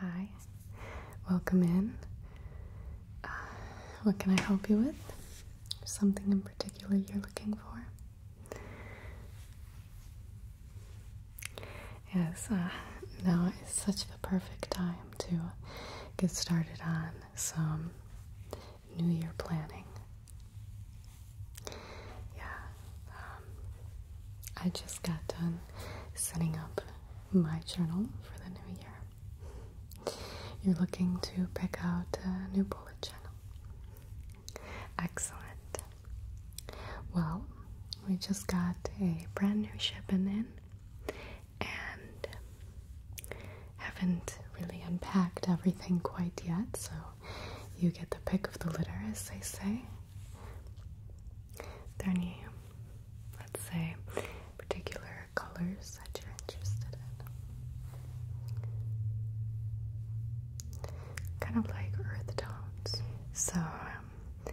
Hi, welcome in. Uh, what can I help you with? Something in particular you're looking for? Yes, uh, now is such a perfect time to get started on some New Year planning. Yeah, um, I just got done setting up my journal for the new year. You're looking to pick out a new bullet journal. Excellent. Well, we just got a brand new shipment in and haven't really unpacked everything quite yet, so you get the pick of the litter, as they say there any, let's say, particular colors that you're interested in? Kind of like earth tones. So, um,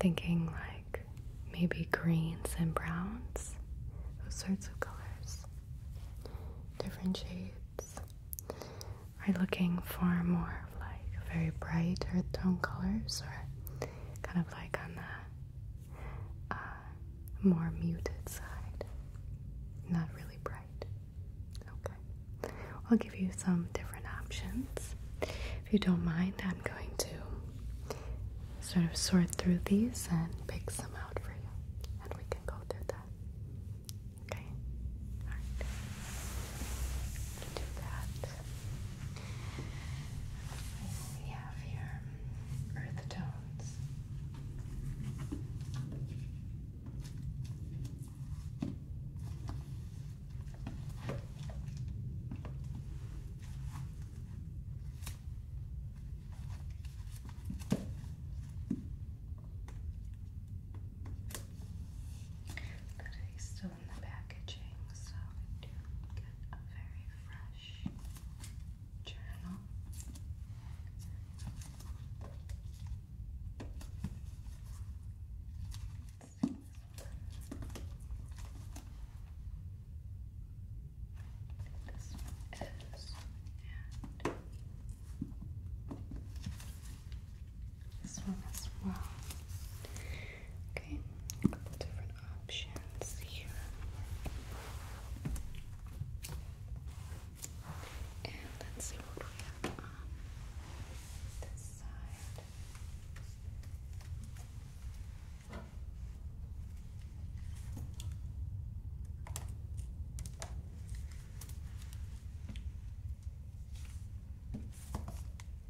thinking like maybe greens and browns, those sorts of colors, different shades. Are you looking for more like very bright earth tone colors or kind of like on the uh, more muted side. Not really bright. Okay. I'll give you some different options. If you don't mind, I'm going to sort of sort through these and pick some out for you. And we can go through that. Okay? Alright. Do that we have here? Earth tones. That is so in the packaging, so we do get a very fresh journal. This is this one as well. Okay, a couple different options here. And let's see what we have on this side.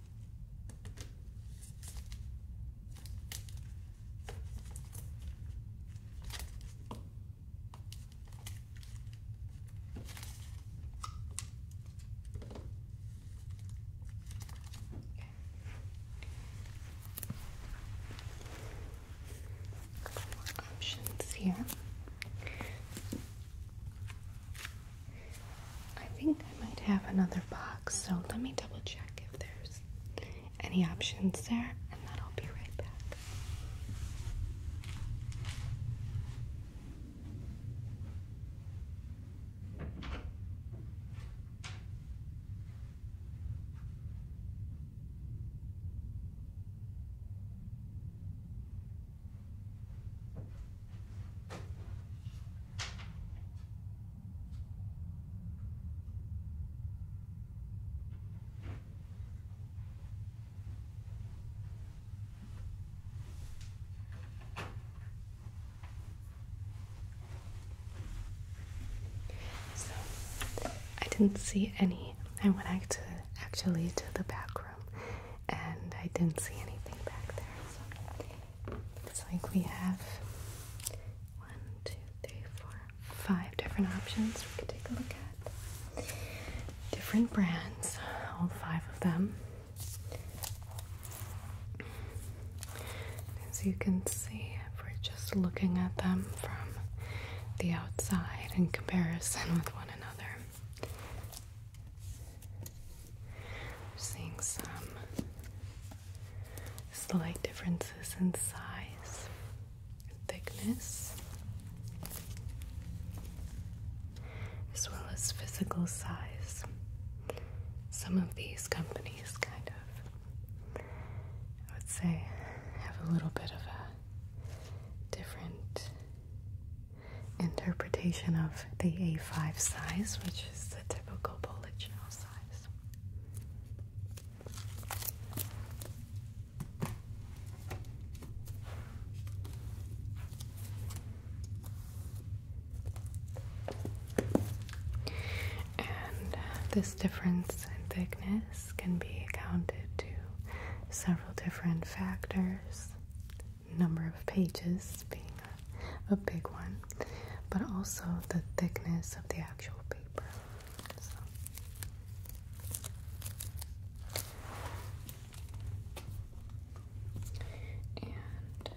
More options here. I think I might have another box, so let me double check if there's any options there, and then I'll be right back. So I didn't see any. I went back to actually to the back room and I didn't see anything back there. It's like we have one, two, three, four, five different options we could take a look at. Different brands, all five of them. As you can see, we're just looking at them from the outside in comparison with one another, we're seeing some slight differences in size and thickness, as well as physical size. Some of these companies kind of, I would say, have a little bit of a different interpretation of the A5 size, which is the typical Polichinelle size. And uh, this difference in thickness can be accounted to several different factors number of pages being a, big one, but also the thickness of the actual paper. And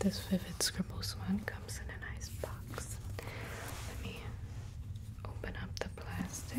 this vivid scribbles one comes in a nice box. Let me open up the plastic.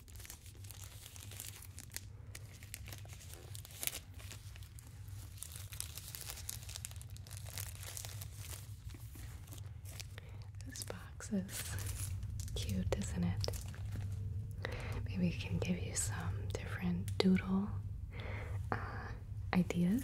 This box is cute, isn't it? Maybe we can give you some different doodle uh, ideas.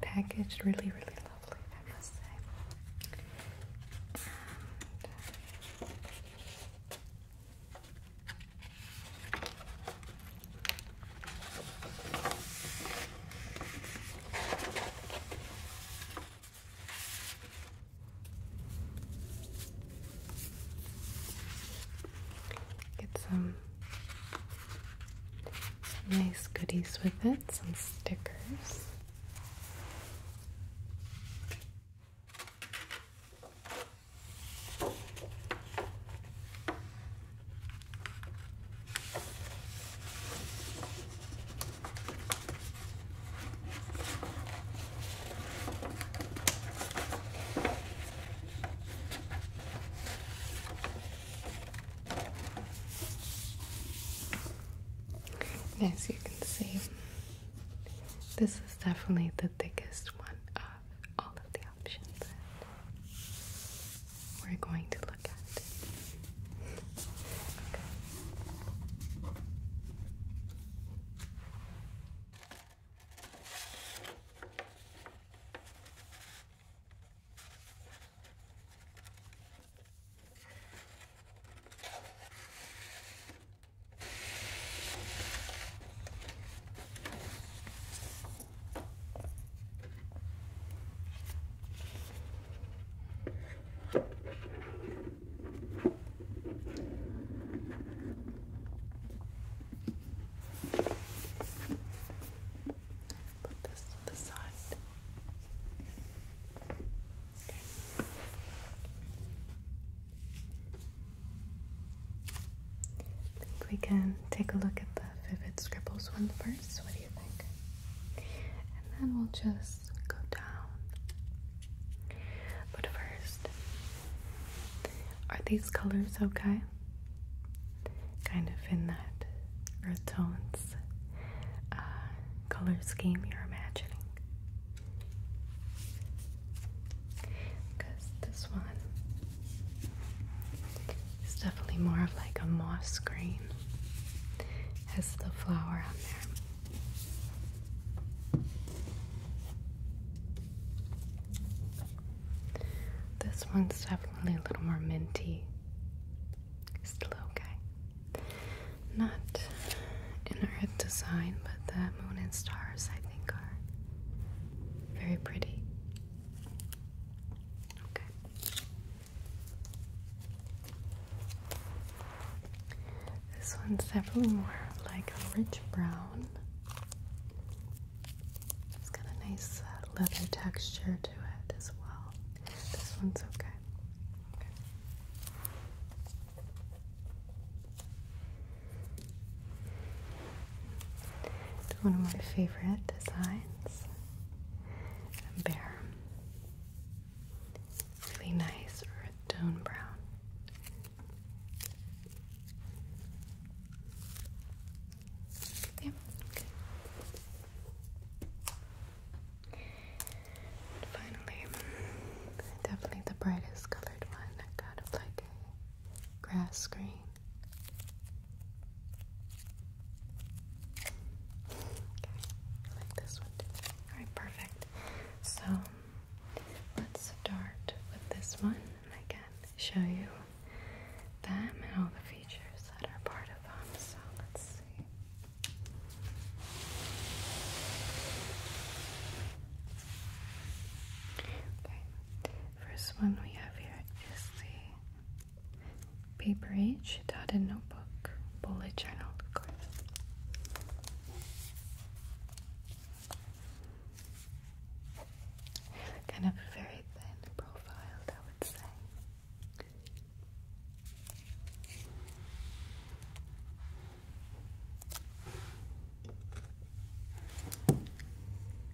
Packaged really, really lovely, I must say. Uh, Get some nice goodies with it, some stickers as you can see, this is definitely the thickest one of all of the options we're going to look at. Put this to the side. Okay. I think we can take a look at the vivid scribbles one first. What do you think? And then we'll just go down. But first, are these colors okay? Kind of in that earth tones uh, color scheme you're imagining. Because this one it's definitely more of like a moss green. Has the flower on there. This one's definitely a little more minty. Still okay. Not in our design, but the moon and stars I think are very pretty. Okay. This one's definitely more like a rich brown. It's got a nice uh, leather texture to it as well. This one's okay. okay. It's one of my favorite designs and Bear. Really nice earth tone brown. Yeah, finally, definitely the brightest colored one. Kind of like a grass green. I like this one Alright, perfect. So let's start with this one and I show you them and all the features that are part of them. So let's see. Okay, first one we have here is the Paper H, dotted notebook, bullet journal, Kind of very thin profile, I would say.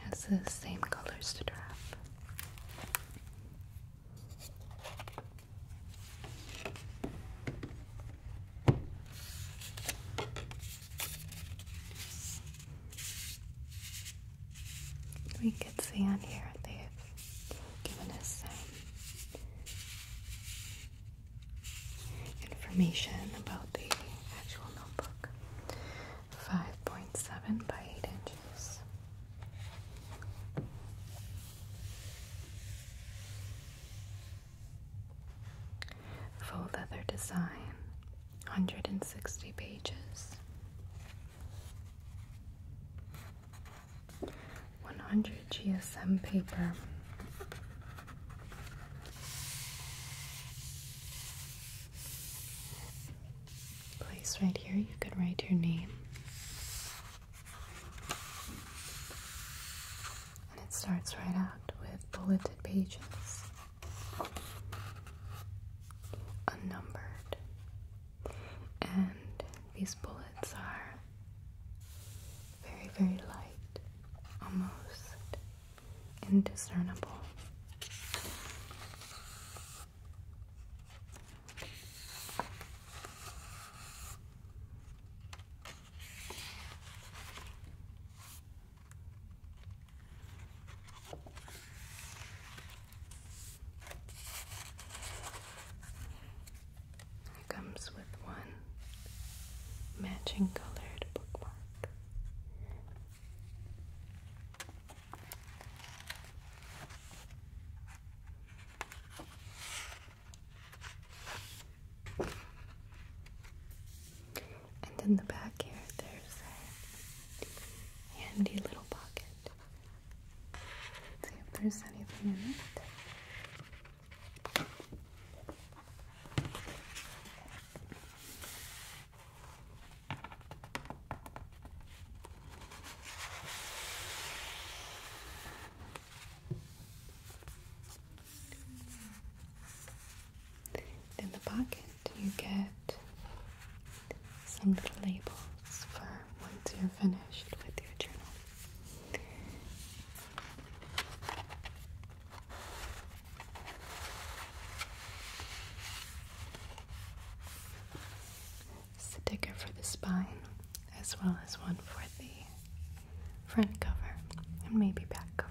Has the same colors to draft. We could see on here they've given us some information about the actual notebook. 5.7 by 8 inches. Full leather design, 160 pages. 100 GSM paper. Place right here, you could write your name. And it starts right out with bulleted pages unnumbered, and these bullets are very, very light, almost indiscernible. It comes with one matching colored bookmark. And in the back here, there's a handy little pocket. see if there's anything in it. In the pocket, you get some little labels for once you're finished with your journal. Sticker for the spine, as well as one for the front cover and maybe back cover.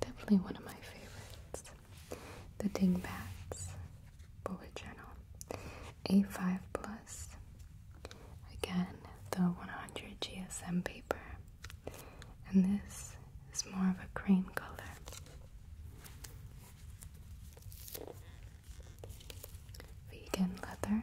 Definitely one of my favorites. The Dingbats Bullet Journal. A5 Plus. Again, the 100 GSM paper. And this is more of a cream color. Vegan leather.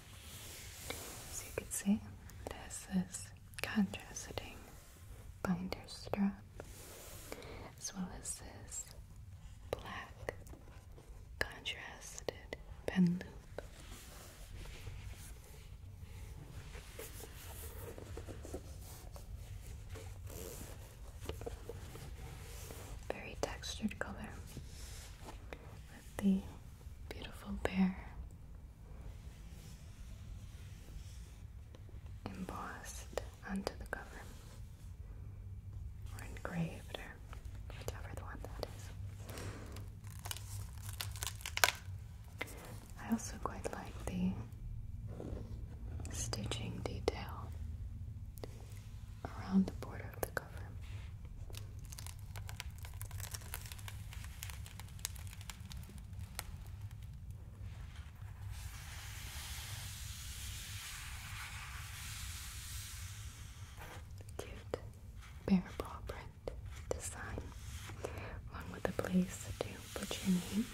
As you can see, this is contrasting binder strap, as well as this black contrasted pen loop. Very textured color with the beautiful bear embossed onto the cover or engraved or whichever the one that is. I also quite like the stitching detail around the border of the cover. Cute bear paw print design, along with a place to put your name.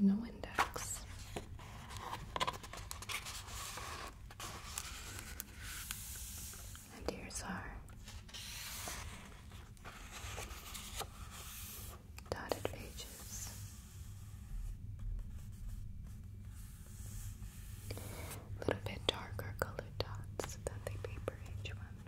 No index. And here's our dotted pages. A little bit darker colored dots than the paper H ones.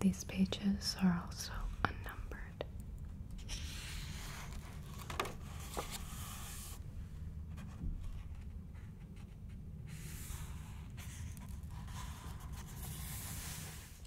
These pages are also unnumbered.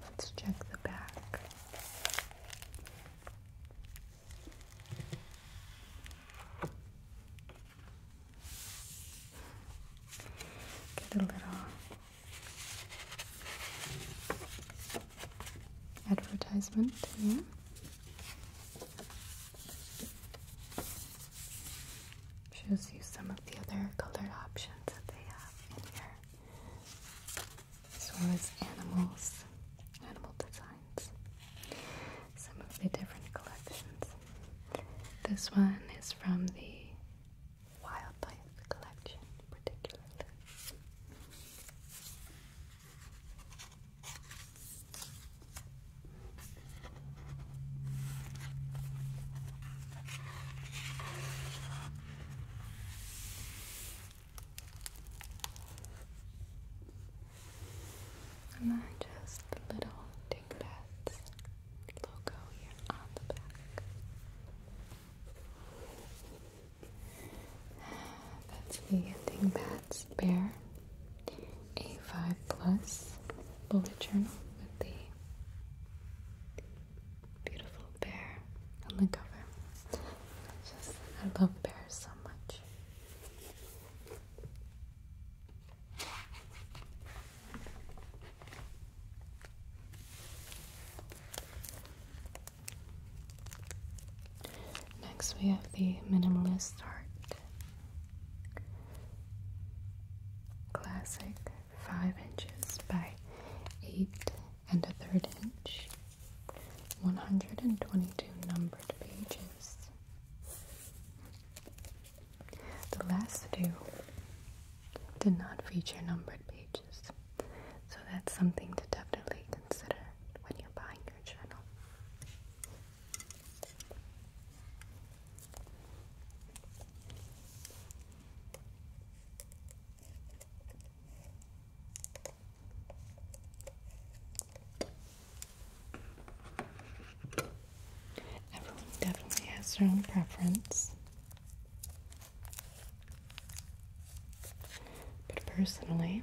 Let's check the back. Get a little advertisement Shows you some of the other colored options that they have in here as well as animals, animal designs. Some of the different collections. This one is from the wildlife collection, particularly. And then just the little Tinkerbell's logo here on the back. That's the Tinkerbell's Bear A5 Plus bullet journal with the beautiful bear on the cover. I love bears so much. Next, we have the minimalist art classic, five inches by eight and a third inch. 122 numbered pages. The last two did not feature numbered pages, so that's something to definitely consider when you're buying your journal. Everyone definitely has their own preference. But personally,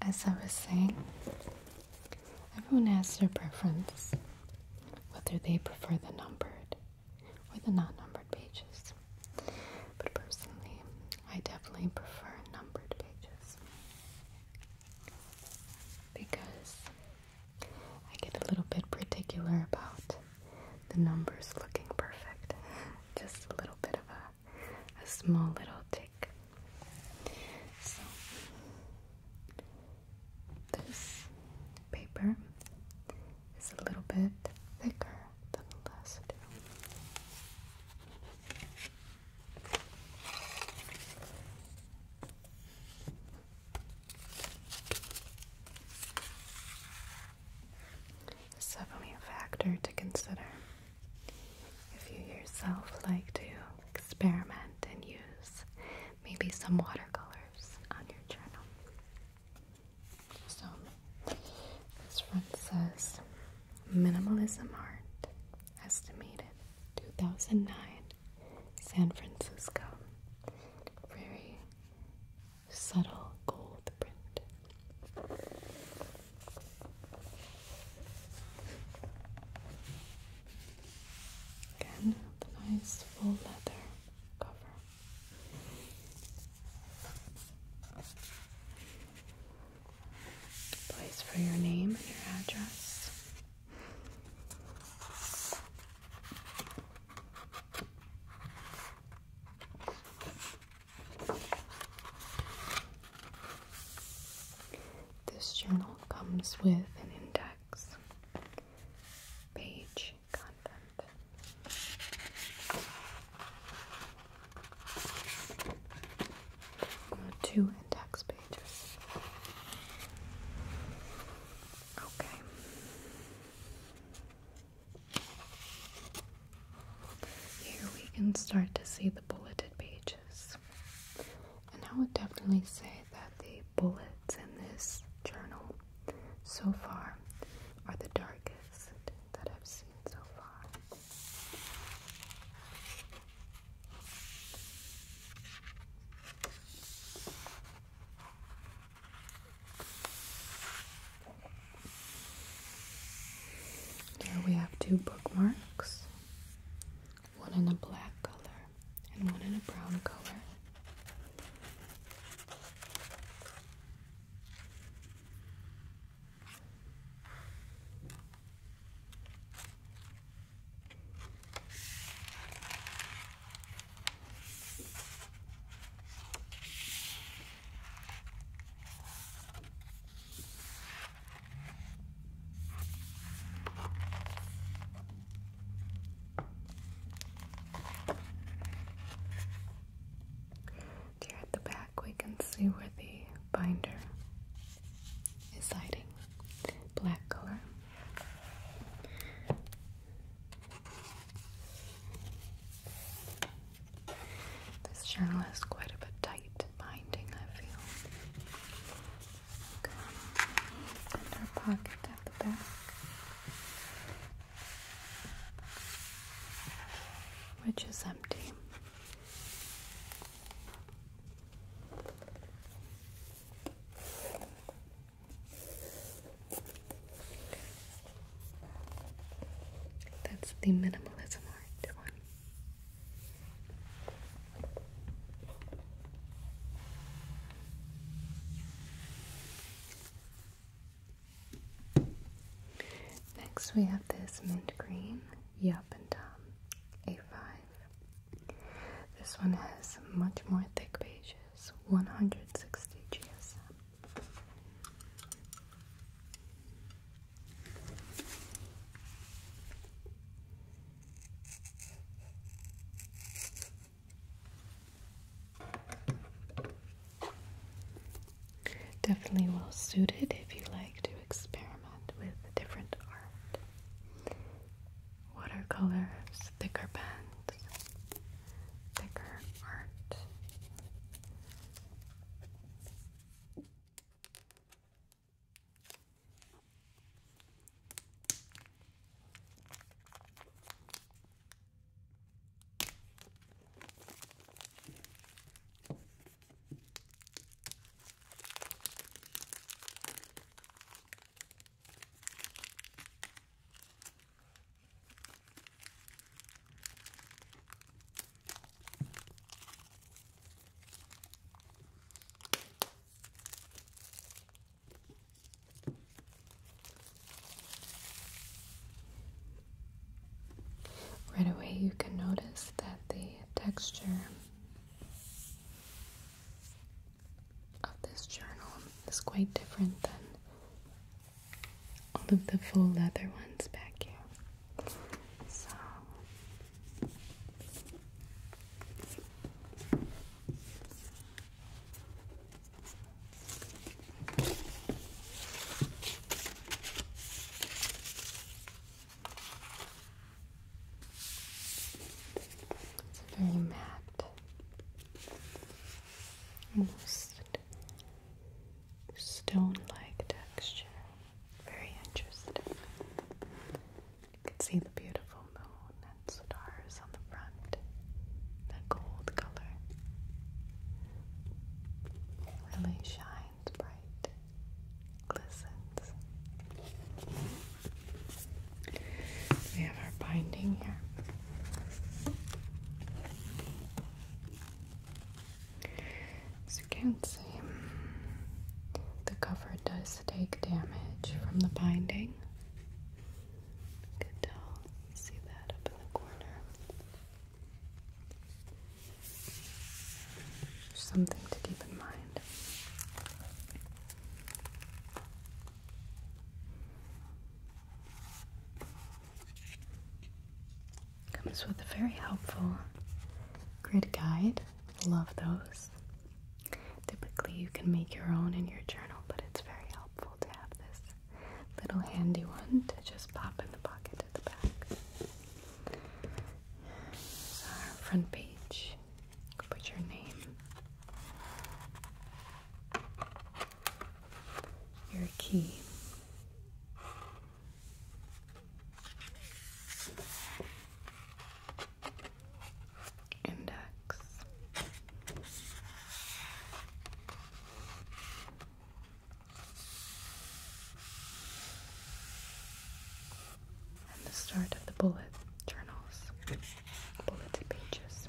As I was saying, everyone has their preference, whether they prefer the numbered or the not numbered pages. But personally, I definitely prefer numbered pages because I get a little bit particular about the numbers looking perfect. Just a little bit of a, small little tick. So, this paper is a little bit thicker than the last it's definitely a factor to consider if you yourself like to experiment and use maybe some watercolors on your journal. So, this one says minimalism art estimated 2009 San Francisco. Very subtle gold print. Again, nice full leather cover place for your name and your address. This journal comes with an index, page, content. Uh, two index pages. Okay. Here we can start to see the bulleted pages. And I would definitely say that the bullets in this journal so far are the darkest that I've seen so far. There we have two bookmarks, one in a black color and one in a brown color. Here at the back, we can see where the binder Deciding black color. This journal has quite a bit tight binding, I feel. Okay. pocket at the back. Which is empty. That's the minimalism art one. Next, we have this mint green Yup and Tom um, A5 this one has much more thick pages, 160 GSM. Definitely well suited if you like to experiment with different art. Watercolors, thicker pens, thicker art. Right away, you can notice that the texture of this journal is quite different than all of the full leather ones back here. So it's very matte, almost stone-like texture. Very interesting. You can see the beautiful moon and stars on the front. That gold color really shines. We have our binding here. As you can see, the cover does take damage from the binding. can tell, see that up in the corner. Something to keep in mind. Comes with a very helpful grid guide. Love those. Typically, you can make your own in your journal, but it's very helpful to have this little handy one to just pop in the pocket at the back. our front page put your name, your key. Index and the start of the bullet journals, bullet pages.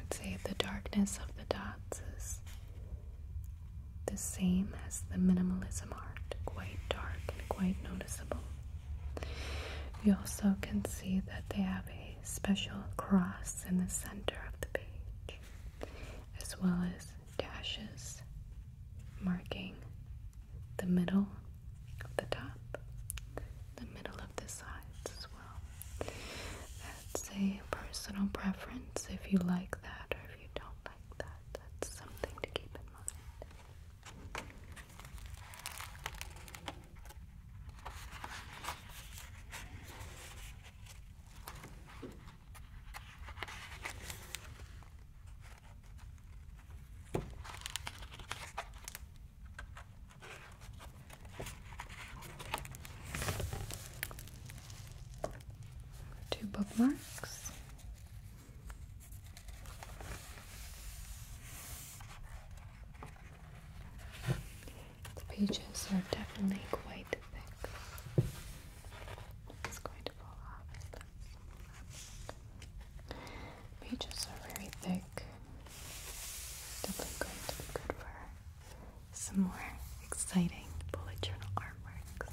I'd say the darkness of the dots is the same as the minimalism art, quite dark and quite noticeable. You also can see that they have a a special cross in the center of the page, as well as dashes marking the middle of the top, the middle of the sides as well. That's a personal preference if you like that or if you don't like that. That's something to keep in mind. Two bookmarks. The pages are definitely quite thick. It's going to fall off. Pages are very thick. Definitely going to be good for some more exciting bullet journal artworks.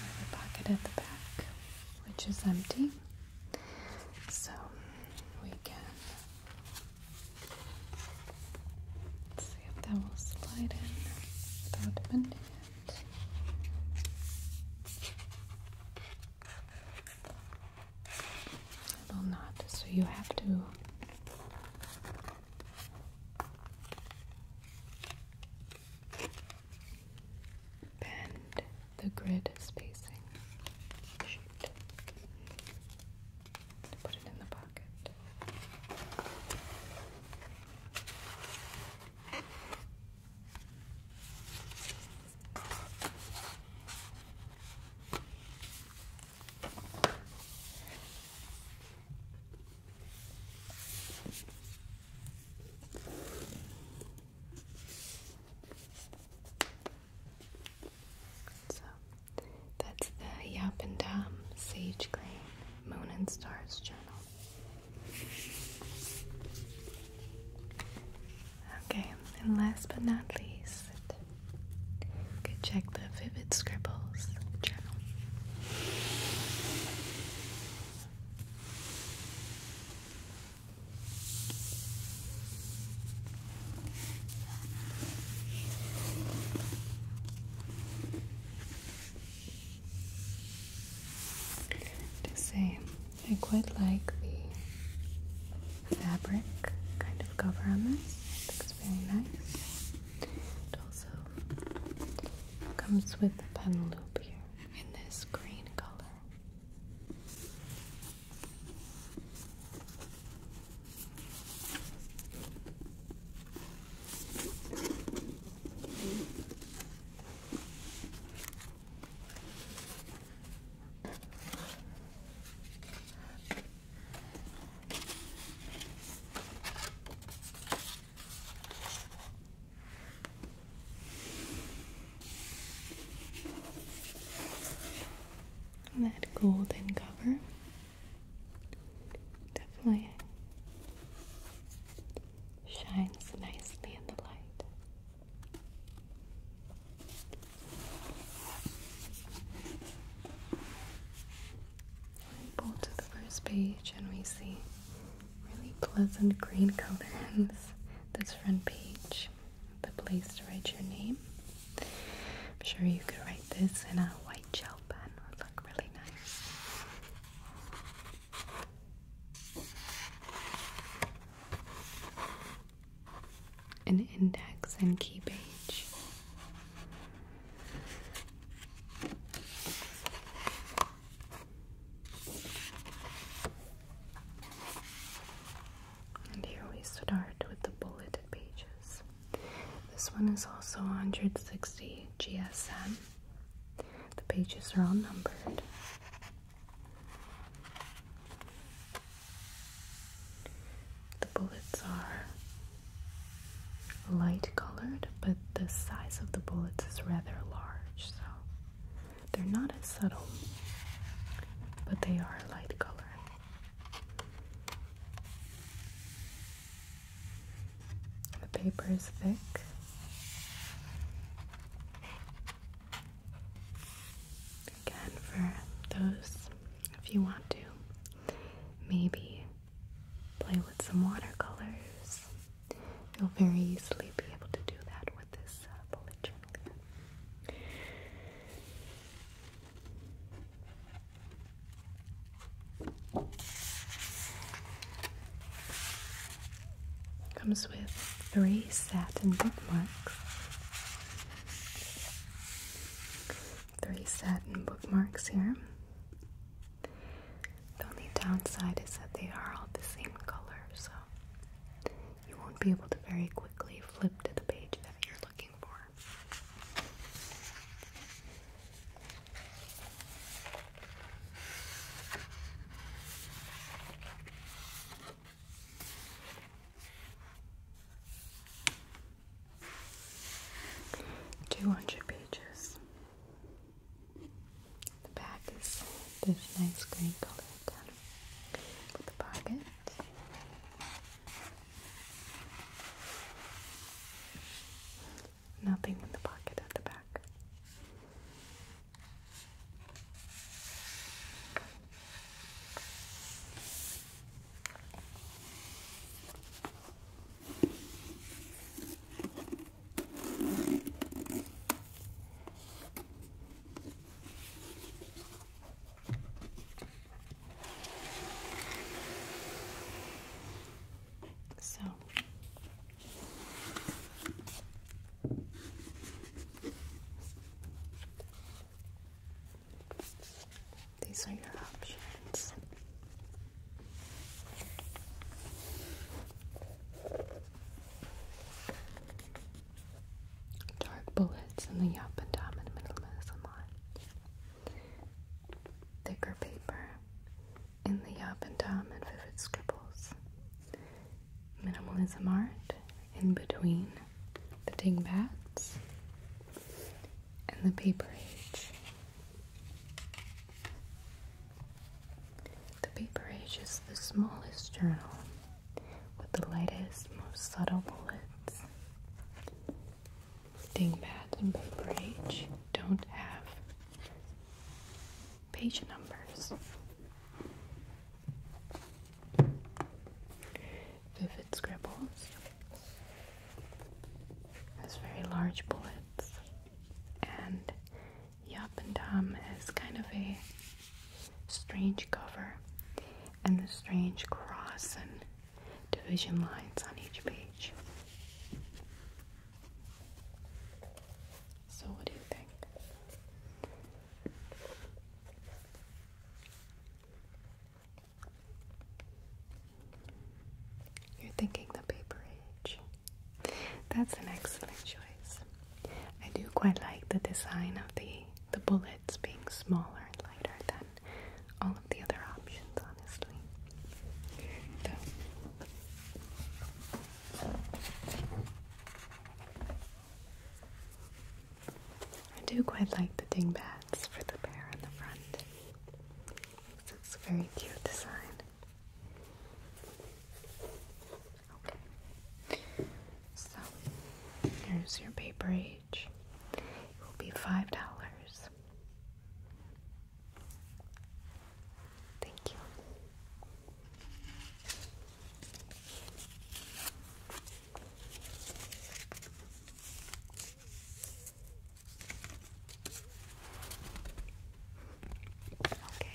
Another pocket at the back which is empty. So we can see if that will slide in without will not, so you have to Bend the grid spacing. Shoot. Put it in the pocket. So that's the Yap and Dam Sage Green Moon and Stars journal. Okay, and last but not least, check the Vivid Scribbles journal. To say, I quite like the fabric kind of cover on this. It looks very nice. It also comes with a pen loop here in this green color. That golden cover definitely shines nicely in the light. pull to the first page and we see really pleasant green color in this, front page. The place to write your name. I'm sure you could write this in a white gel pen. It would look really nice. An index and key page. And here we start with the bulleted pages. This one is also 160 GSM. The pages are all numbered. The bullets are light colored, but the size of the bullets is rather large, so they're not as subtle, but they are a light color. The paper is thick. Again, for those, if you want to, maybe play with some watercolors You'll very easily be able to do that with this uh, Comes with three satin bookmarks. Three satin bookmarks here. The only downside is that they are all the same color, so you won't be able to very quickly flip to the page that you're looking for. Two hundred pages. The back is this nice green color with the pocket. Nothing in the pocket at the back. So these are your options. Dark bullets in the up and down and the line. Thicker paper in the up and down and vivid scribbles. Minimalism art in between the dingbats and the paper age. The paper age is the smallest journal with the lightest, most subtle bullets. Dingbat and paper age don't have page numbers. Vivid scribbles has very large bullets and Yup and Tom has kind of a strange cover and the strange cross and division lines on each page. So, what do you think? You're thinking the paper age. That's an excellent choice. I do quite like the design of the the bullets being smaller and lighter than all of the other options, honestly. I do quite like the dingbats for the bear on the front. It's a very cute design. Okay. So here's your paper age. It will be five dollars. Thank you. Okay.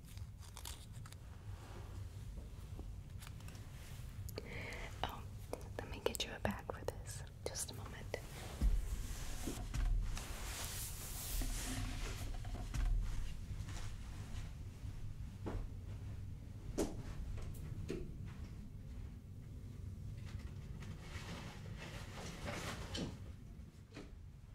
Oh, let me get you a bag for this. Just a moment.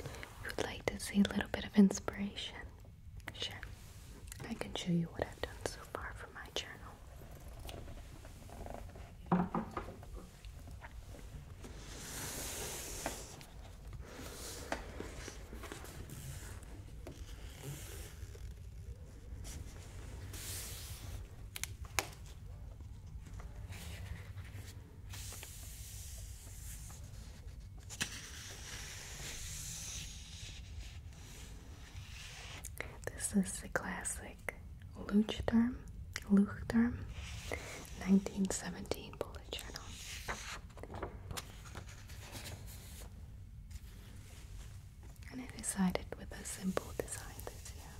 If you'd like to see a little bit of inspiration, sure. I can show you what I've done so far for my journal. This is the classic Luchterm, Luchterm 1917 bullet journal. And it is decided with a simple design this year.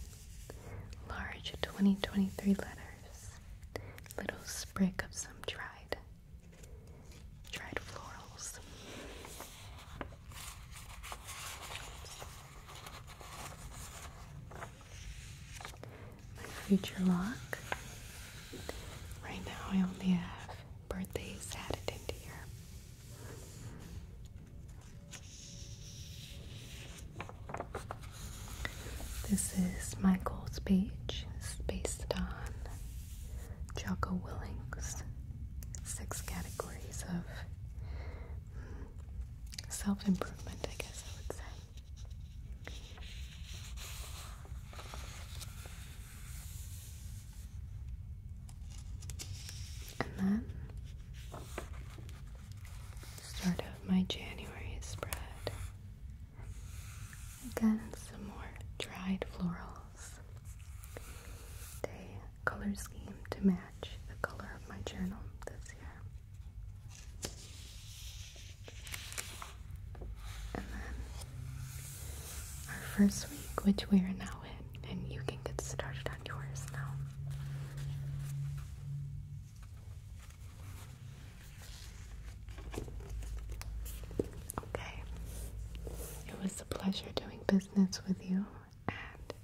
Large 2023 letter little sprig of some dried, dried florals. My future lock. Right now, I only have birthdays added into here. This is Michael's page. It's based on Jocko Willing's six categories of mm, self improvement, I guess I would say. And then start of my January spread. Again, some more dried florals. Day color scheme to match the color of my journal this year. And then our first week, which we are now in, and you can get started on yours now. Okay. It was a pleasure doing business with you, and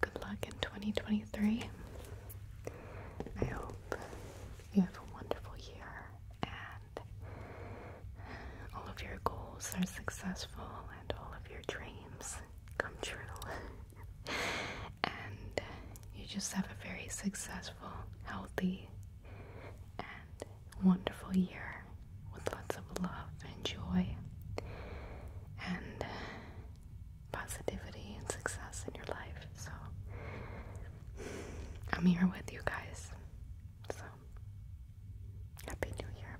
good luck in 2023. I hope you have a wonderful year and all of your goals are successful and all of your dreams come true. and you just have a very successful, healthy, and wonderful year with lots of love and joy and positivity and success in your life. So, I'm here with you guys. So, Happy New Year.